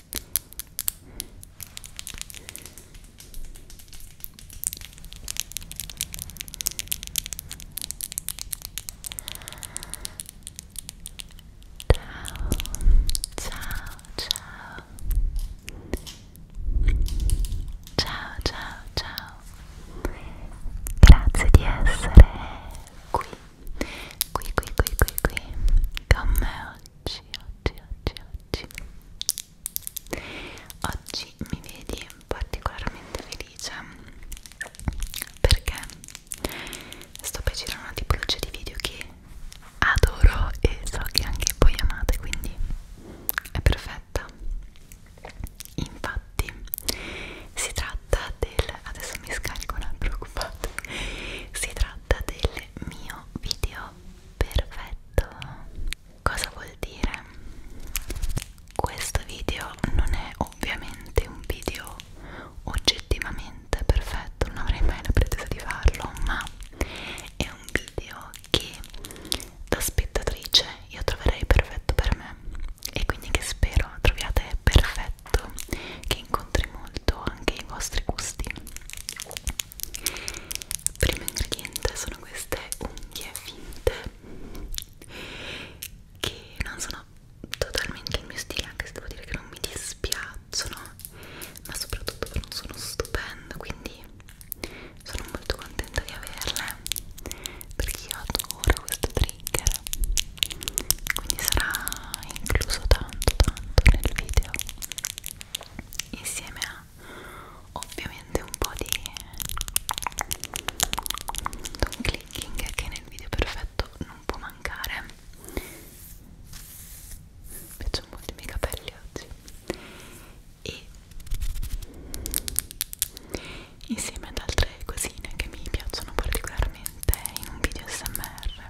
ciao ciao ciao ciao ciao grazie di essere qui qui qui qui qui qui con me oggi oggi, oggi, oggi, oggi Oggi mi vedi particolarmente felice perché sto per girare una tipologia di video che adoro e so che anche voi amate, quindi è perfetta. Infatti, si tratta del. adesso mi scarico un altro occupato. Si tratta del mio video Perfetto, cosa vuol dire? Questo video non è ovviamente un video oggettivamente perfetto, non avrei mai la pretesa di farlo, ma è un video che da spettatrice io troverei perfetto per me e quindi che spero troviate perfetto, che incontri molto anche i vostri gusti il primo ingrediente sono queste unghie finte che non sono totalmente il mio stile, anche se devo dire che non mi dispiacciono, ma soprattutto non sono stupendo, quindi sono molto contenta di averle perché io adoro questo trigger quindi sarà incluso tanto tanto nel video insieme a ovviamente un po' di un clicking che nel video perfetto non può mancare mi piacciono molto i miei capelli oggi e insieme ad altre cosine che mi piacciono particolarmente in un video smr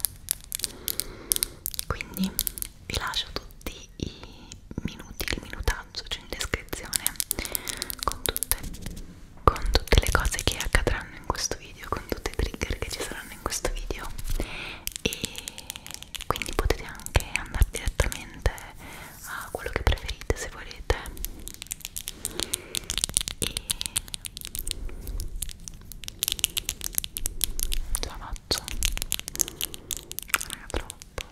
quindi vi lascio tutti tutti i minuti, il minutaggio c'è cioè in descrizione con tutte, con tutte le cose che accadranno in questo video, con tutti i trigger che ci saranno in questo video e quindi potete anche andare direttamente a quello che preferite se volete e ce la faccio raga troppo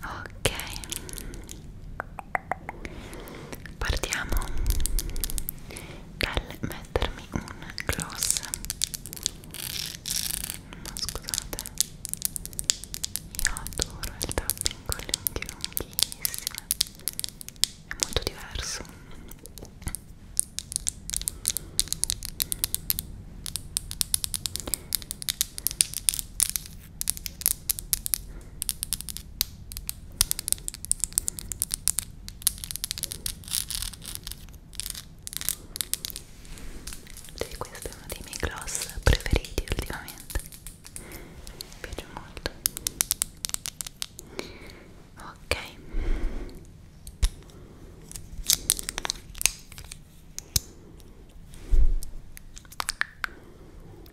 ok partiamo dal mettermi un gloss ma scusate io adoro il tapping con le unghie lunghissime è molto diverso sì, questo è uno dei miei gloss preferiti ultimamente mi piace molto ok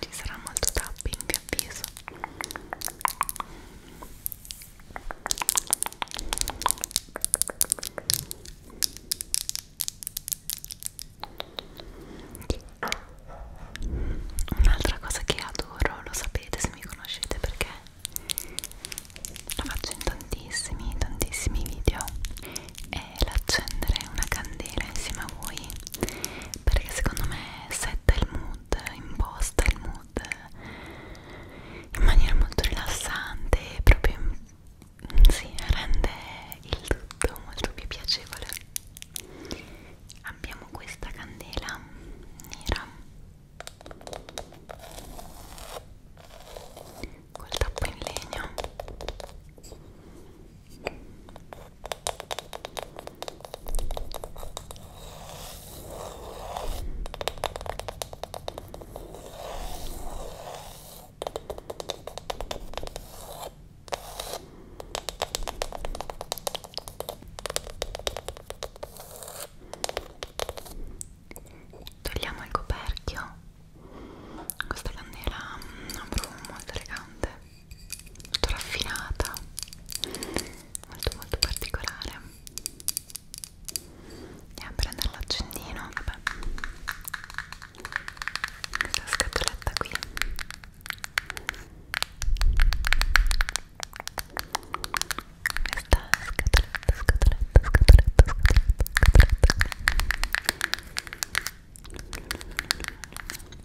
ci sarà molto tapping vi avviso un'altra cosa che adoro lo sapete se mi conoscete perché la faccio in tantissimi tantissimi video è l'accendere una candela insieme a voi perché secondo me setta il mood, imposta il mood in maniera molto rilassante e proprio mm, sì, rende il tutto molto più piacevole. Abbiamo questa candela nera col tappo in legno Togliamo il coperchio. Questa candela ha mm, un profumo molto elegante molto raffinata molto molto particolare andiamo a prendere l'accendino vabbè questa scatoletta qui questa scatoletta, scatoletta, scatoletta, scatoletta, scatoletta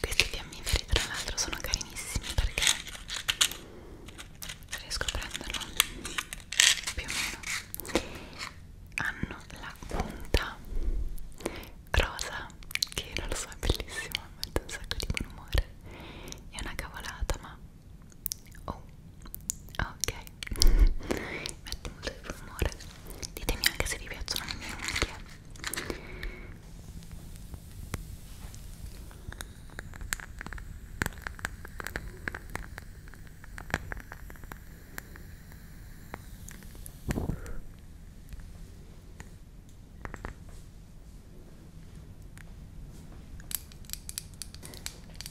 Questi fiammiferi tra l'altro sono carinissimi perché riesco a prenderlo più o meno hanno la punta rosa che non lo so è bellissimo mette un sacco di buon umore è una cavolata ma oh ok mette molto di buon umore ditemi anche se vi piacciono le mie unghie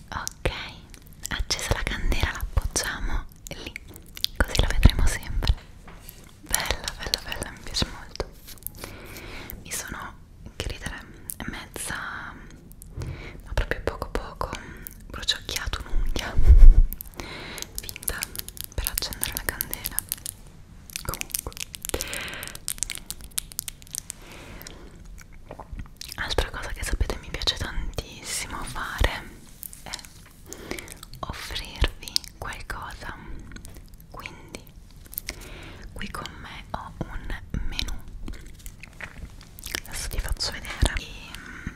ok accesa la candela la appoggiamo lì così la vedremo sempre bella bella bella mi piace molto mi sono che ridere mezza ma proprio poco poco bruciacchiato un'unghia finta per accendere la candela comunque altra cosa che sapete mi piace tantissimo fare è offrirvi qualcosa quindi qui con me ho un menù adesso ti faccio vedere e... Mm,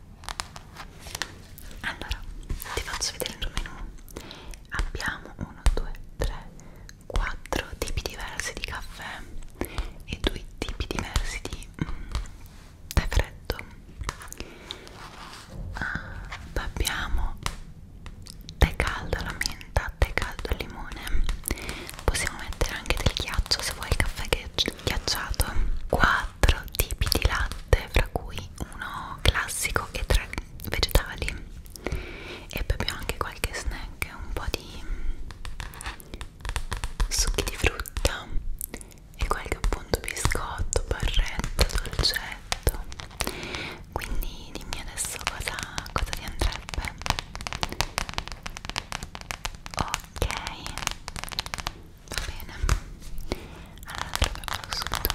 allora ti faccio vedere il menù abbiamo 1 2 3 4 tipi diversi di caffè e due tipi diversi di mm, tè freddo ah, abbiamo tè caldo alla menta tè caldo al limone possiamo mettere anche del ghiaccio se vuoi il caffè ghiacciato 4 tipi di latte fra cui uno classico e tre vegetali e poi abbiamo anche qualche snack, un po' di succhi di frutta e qualche appunto biscotto, barretta, dolcetto quindi dimmi adesso cosa, cosa ti andrebbe ok va bene allora te lo faccio subito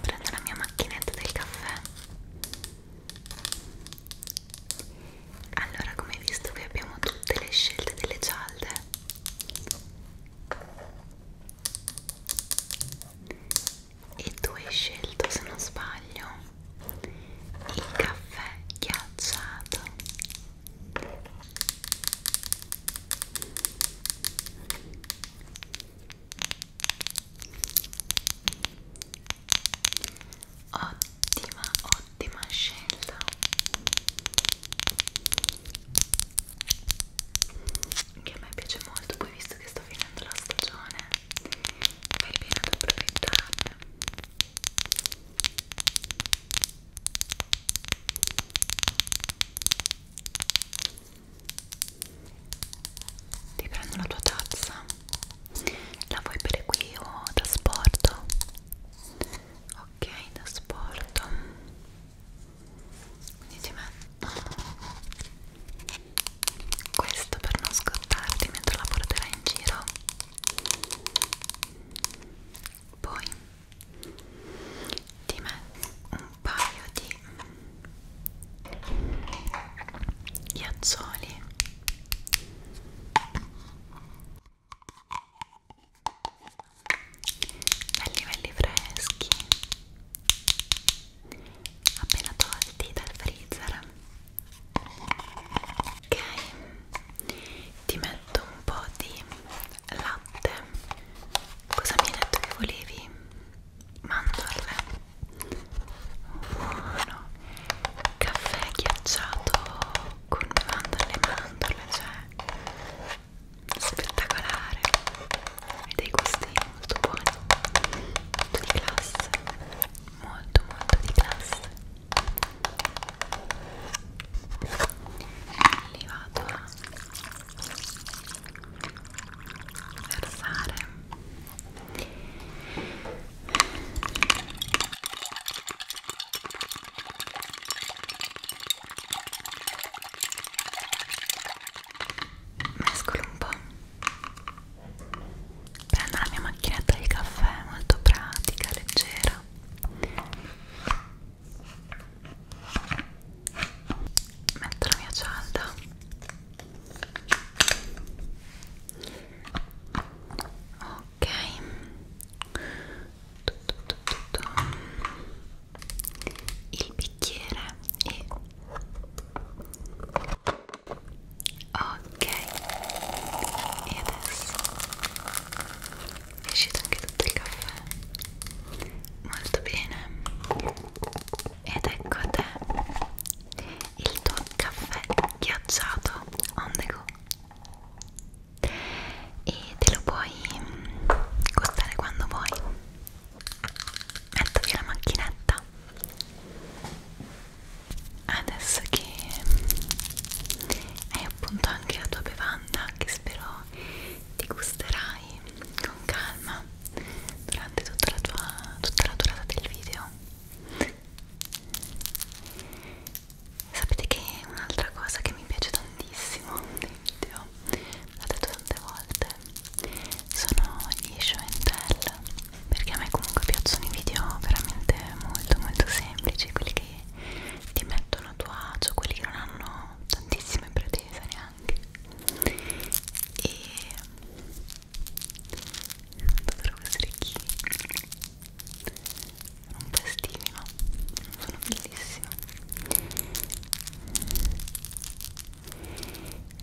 prendo la mia macchinetta del caffè allora come hai visto qui abbiamo tutte le scelte delle cialde e tu hai scelto se non sbaglio il caffè ghiacciato ottima ottima scelta che a me piace molto poi visto che sto finendo la stagione fai bene ad approfittarne ti prendo la tua tazza la vuoi bere qui o da sport? ok da sport quindi ti metto questo per non scottarti mentre la porterai in giro poi ti metto un paio di ghiaccioli belli belli freschi appena tolti dal freezer ok ti metto un po' di latte cosa mi hai detto che volevi? mandorle buono caffè ghiacciato con mandorle mandorle cioè spettacolare dei gusti molto buoni molto di classe molto molto di classe li vado a versare mescolo un po' prendo la mia macchinetta di caffè molto pratica, leggera metto la mia cialda ok tutto, tutto, tutto. il bicchiere e ok e adesso è uscito anche tutto il caffè molto bene ed ecco a te il tuo caffè ghiacciato on the go e te lo puoi gustare quando vuoi metto via la macchinetta adesso che hai appunto anche la tua bevanda che spero ti gusterai con calma durante tutta la, tua, tutta la durata del video sapete che un'altra cosa che mi piace tantissimo dei video l'ho detto tante volte sono gli show and tell perché a me comunque piacciono i video veramente molto molto semplici quelli che ti mettono a tuo agio quelli che non hanno tantissime pretese neanche e dovrebbero essere chi un po' estivi ma sono bellissimo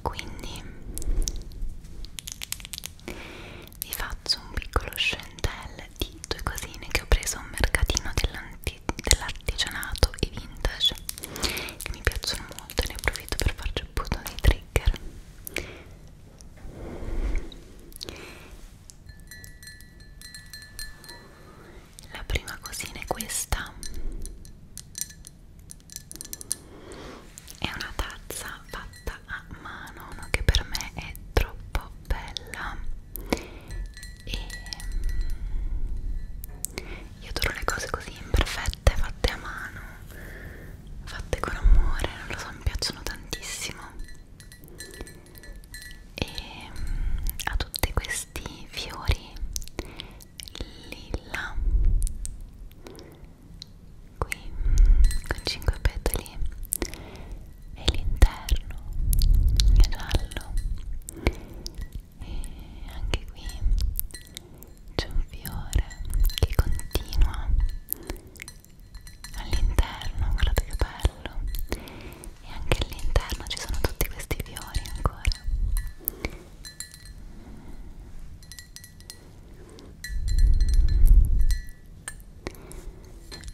quindi vi faccio un piccolo scentel di due cosine che ho preso a un mercatino dell'artigianato dell e vintage che mi piacciono molto e ne approfitto per farci un punto di trigger la prima cosina è questa è una tazza fatta a mano, no? che per me è troppo bella. E mm, io adoro le cose così imperfette, fatte a mano, fatte con amore, non lo so, mi piacciono tantissimo. E mm, ha tutti questi fiori lilla qui mm, con 5 petali e l'interno è giallo e anche qui c'è un fiore che continua all'interno guardate che bello e anche all'interno ci sono tutti questi fiori ancora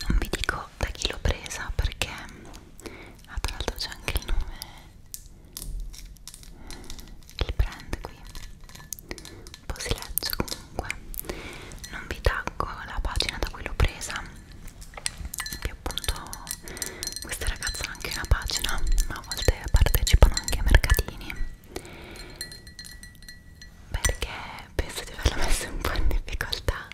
non vi dico da chi l'ho presa perché ah, tra l'altro c'è anche il nome il brand qui un po' si legge comunque non vi taggo la pagina da cui l'ho presa che appunto queste ragazze hanno anche una pagina ma a volte partecipano anche a mercatini perché penso di averla messa un po' in difficoltà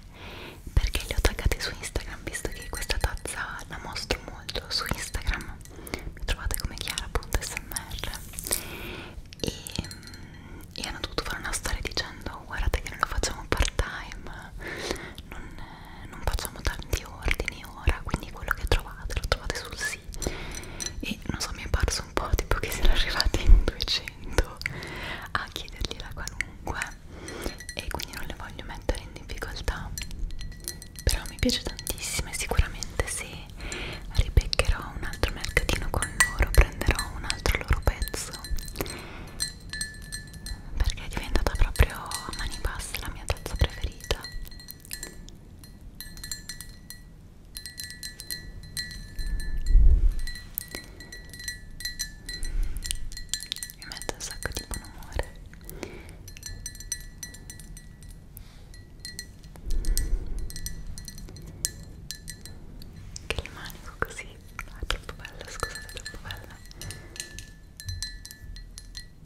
perché le ho taggate su Instagram visto che questa tazza la mostro molto su Instagram mi trovate come chiara.smr e, mm, e hanno dovuto fare una storia dicendo guardate che non lo facciamo part time non, non facciamo tanti ordini ora quindi quello che trovate lo trovate sul sito così e non so mi è parso un po' tipo che siano arrivati in 200 a chiedergli la qualunque e quindi non le voglio mettere in difficoltà però mi piace tantissimo e sicuramente se ripeccherò un altro mercatino con loro prenderò un altro loro pezzo perché è diventata proprio a mani basse la mia tazza preferita mi mette un sacco di buon umore che il manico così no, è troppo bella, scusate, è troppo bella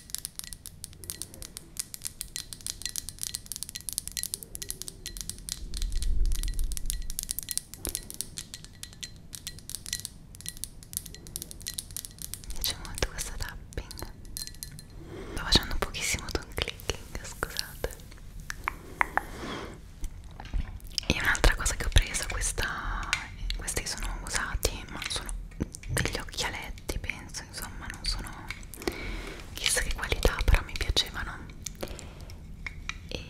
Mi piace molto questo tapping. Sto facendo pochissimo tongue clicking, scusate. E un'altra cosa che ho preso, questa, questi sono usati, ma sono degli occhialetti, penso, insomma, non sono chissà che qualità però mi piacevano e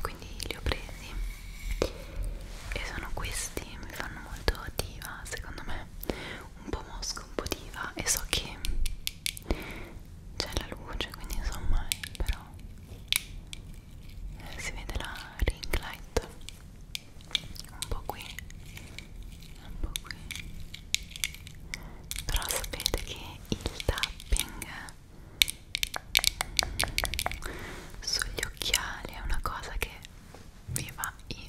quindi li ho presi e sono questi mi fanno molto diva secondo me un po' mosca un po' diva e so che c'è la luce quindi insomma però eh, si vede la ring light un po' qui un po' qui però sapete che il tapping sugli occhiali è una cosa che vi va impazzire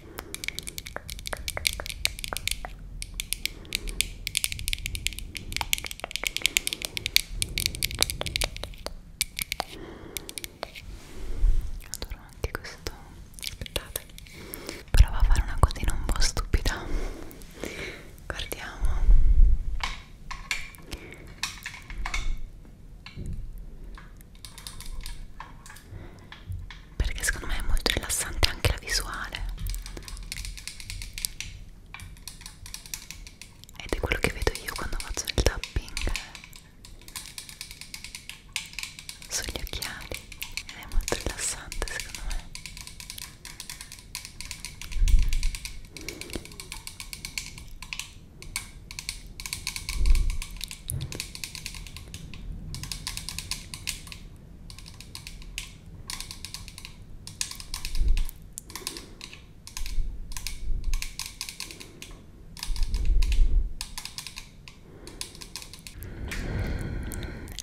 Adoro anche questo aspettate prova a fare una cosina un po' stupida guardiamo perché secondo me è molto rilassante anche la visuale ed è quello che vedo io quando faccio il tapping sugli occhiali ed è molto rilassante secondo me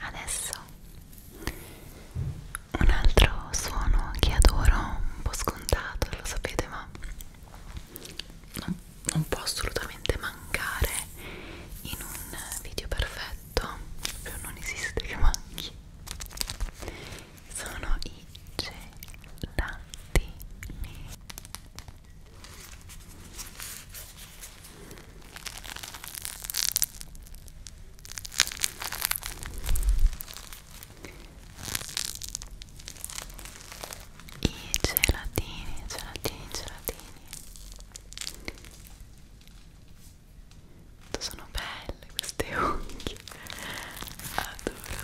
Adesso un altro suono che adoro, un po' scontato, lo sapete, ma non, non può assolutamente mancare in un video perfetto non esiste che manchi sono i gelatini i gelatini, gelatini, gelatini Quanto sono belle queste unghie Adoro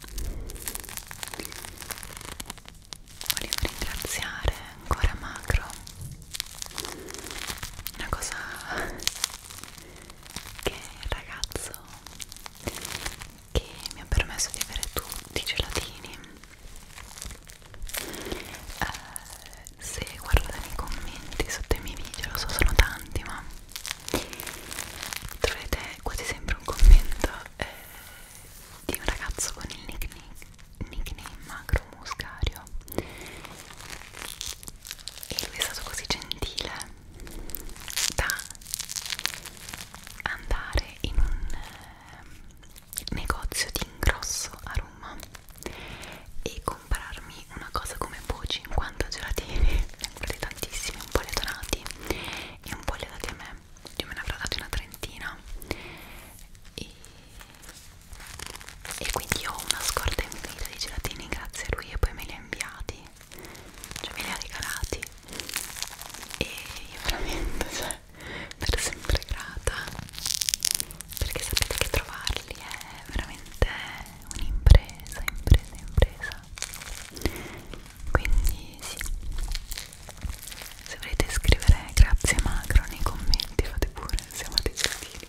volevo ringraziare ancora Macro una cosa che il ragazzo che mi ha permesso di avere tutti i gelatini eh, se guardate i commenti sotto i miei video lo so sono tanti ma troverete quasi sempre un commento eh, di un ragazzo con il nickname, nickname Macro Muscario e lui è stato così gentile da andare in un eh, negozio di ingrosso a Roma e comprarmi una cosa come po' 50 gelatini, ne ho comprati tantissimi, un po' letonati e un po' legati a me io me ne avrò dati una trentina e, e quindi ho una scorta infinita di gelatini grazie a lui e poi me li ha inviati cioè me li ha regalati e io veramente cioè per sempre grata perché sapete che trovarli è veramente un'impresa impresa impresa quindi sì se volete scrivere grazie macro nei commenti fate pure siamo dei gentili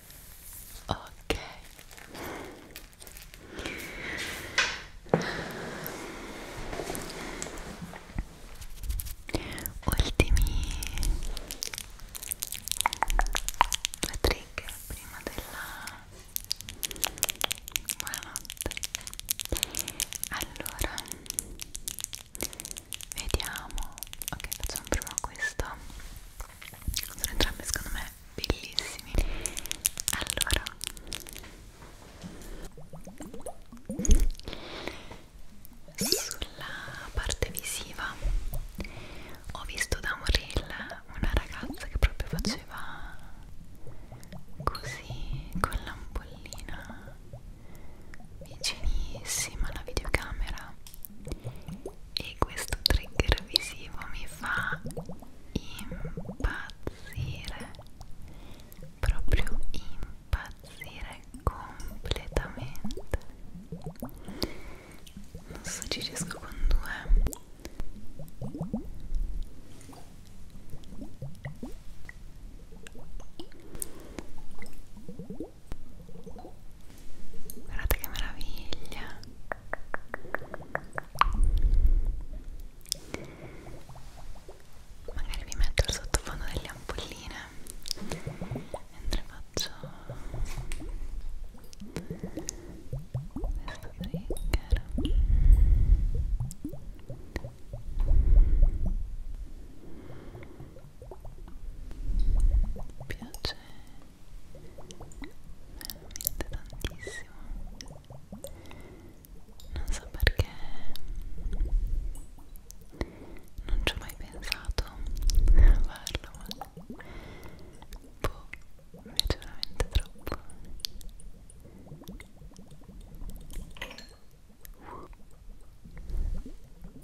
ok ultimi due trick prima della buonanotte allora vediamo ok facciamo prima questo sono entrambi secondo me bellissimi allora sulla parte visiva ho visto da un reel una ragazza che proprio faceva così con l'ampollina vicinissima alla videocamera e questo trigger visivo mi fa impazzire proprio impazzire completamente non so ci riesco con due guardate che meraviglia magari vi metto il sottofondo delle ampolline mentre faccio questo trigger piace veramente tantissimo non so perché non ci ho mai pensato a farlo ma boh, mi piace veramente troppo Uh.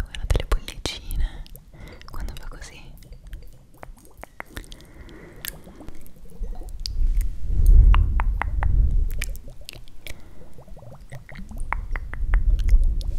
guardate le bollicine quando fa così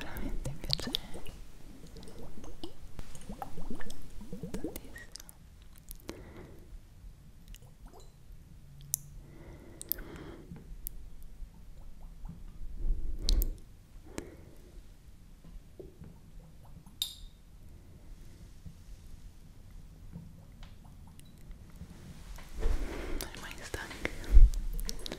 veramente piacere tantissimo non è mai stanca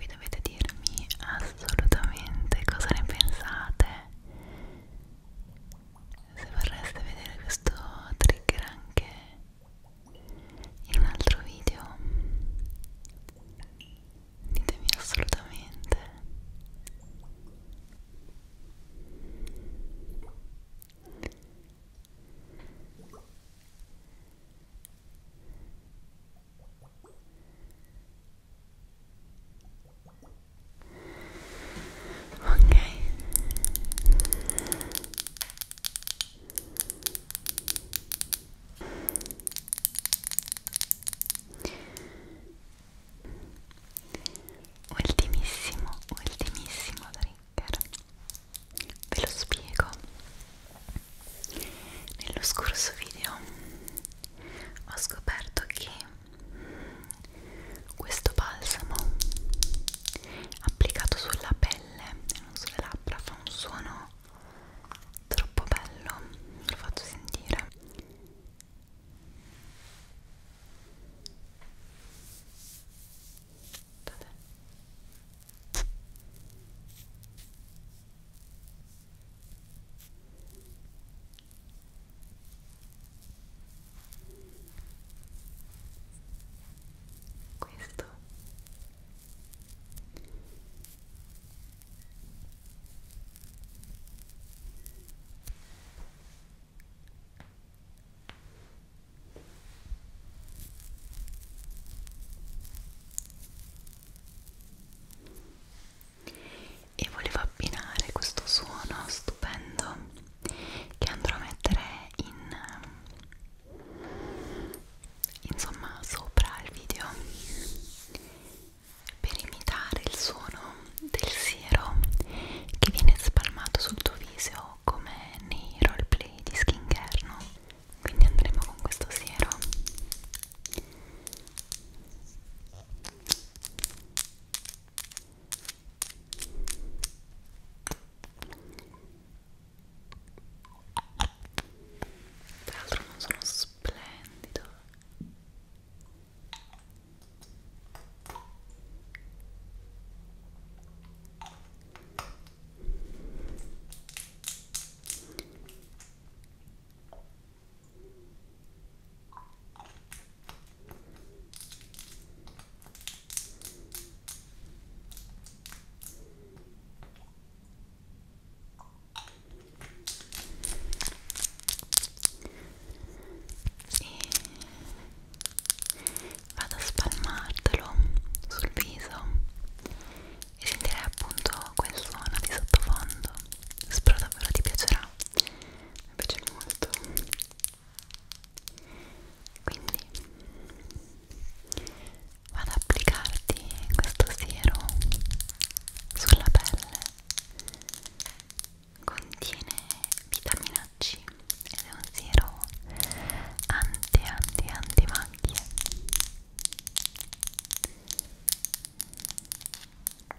Qui dovete dirmi assolutamente cosa ne pensate se vorreste vedere questo trigger anche in un altro video ditemi assolutamente Ok. Ultimissimo, ultimissimo trigger. Ve lo spiego. Nello scorso video ho scoperto che questo balsamo applicato sulla pelle e non sulle labbra fa un suono troppo bello lo faccio sentire Dov'è? questo e volevo abbinare questo suono stupendo che andrò a mettere in insomma sopra il video per imitare il suono del siero che viene spalmato sul tuo viso come nei roleplay di skincare no? quindi andremo con questo siero e tra l'altro non sono splendido e vado a spalmartelo sul viso e sentirei appunto quel suono di sottofondo spero davvero ti piacerà mi piace molto quindi vado ad applicarti questo siero sulla pelle contiene vitamina C ed è un siero anti anti anti macchie Ok,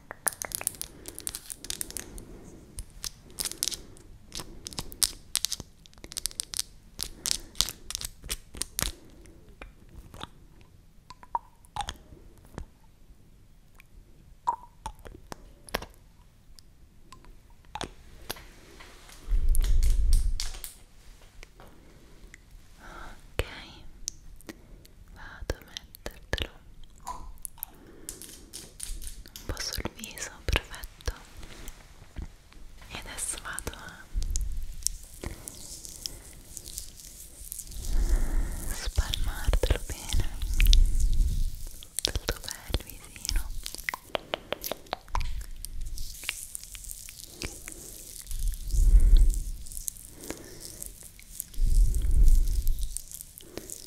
vado a mettertelo un po' sul viso, perfetto e adesso vado a spalmartelo bene tutto bel visino ok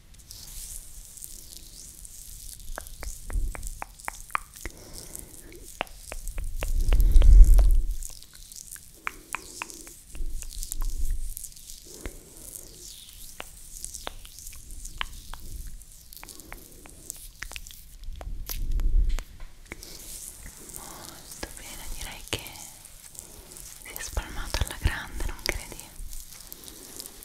Molto bene, direi che si è spalmato alla grande, non credi?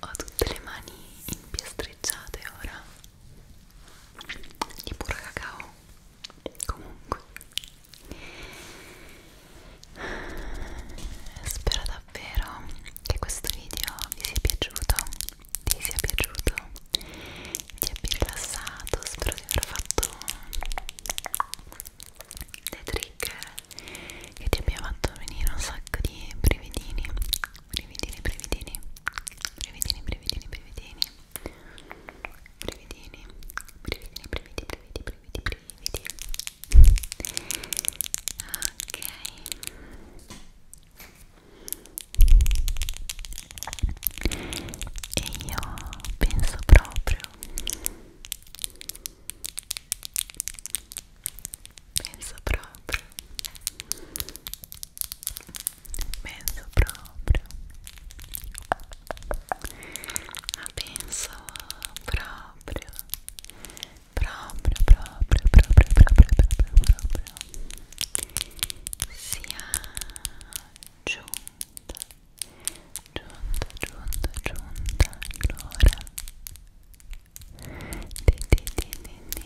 Ho tutte le mani impiastreggiate ora di puro cacao. Comunque, spero davvero che questo video vi sia piaciuto, vi sia piaciuto, ti abbia rilassato. Spero di aver fatto le trigger che ti abbia fatto venire un sacco di brividini brividini brividini brividini brividini brividini brividini brividini brividi brividi brividi brividi ok e io penso proprio Penso proprio. Penso proprio. Ma penso proprio. Proprio, proprio, proprio, proprio, proprio, proprio. Sia giunta giunta, giunta, giunta l'ora di, di, di, di, di.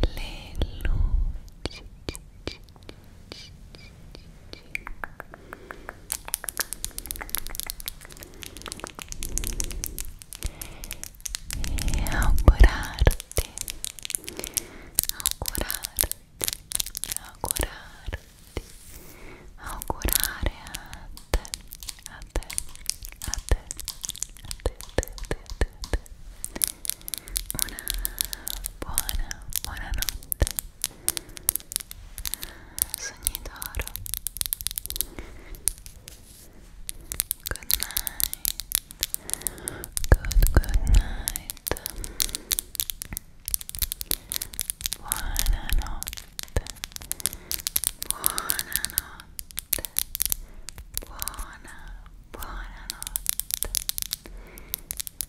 passare le luci e augurarti augurarti augurarti augurare a te a te a te a te a te a te a te, a te. una buona buona notte Sogni d'oro. Good night. Good, good night. Buonanotte. Buonanotte. Buona, buonanotte.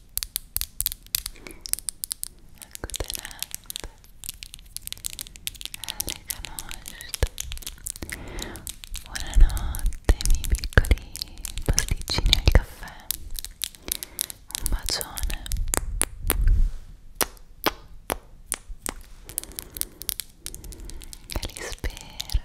accotenante alle canosce buonanotte miei piccoli pasticcini al caffè un bacione che li spera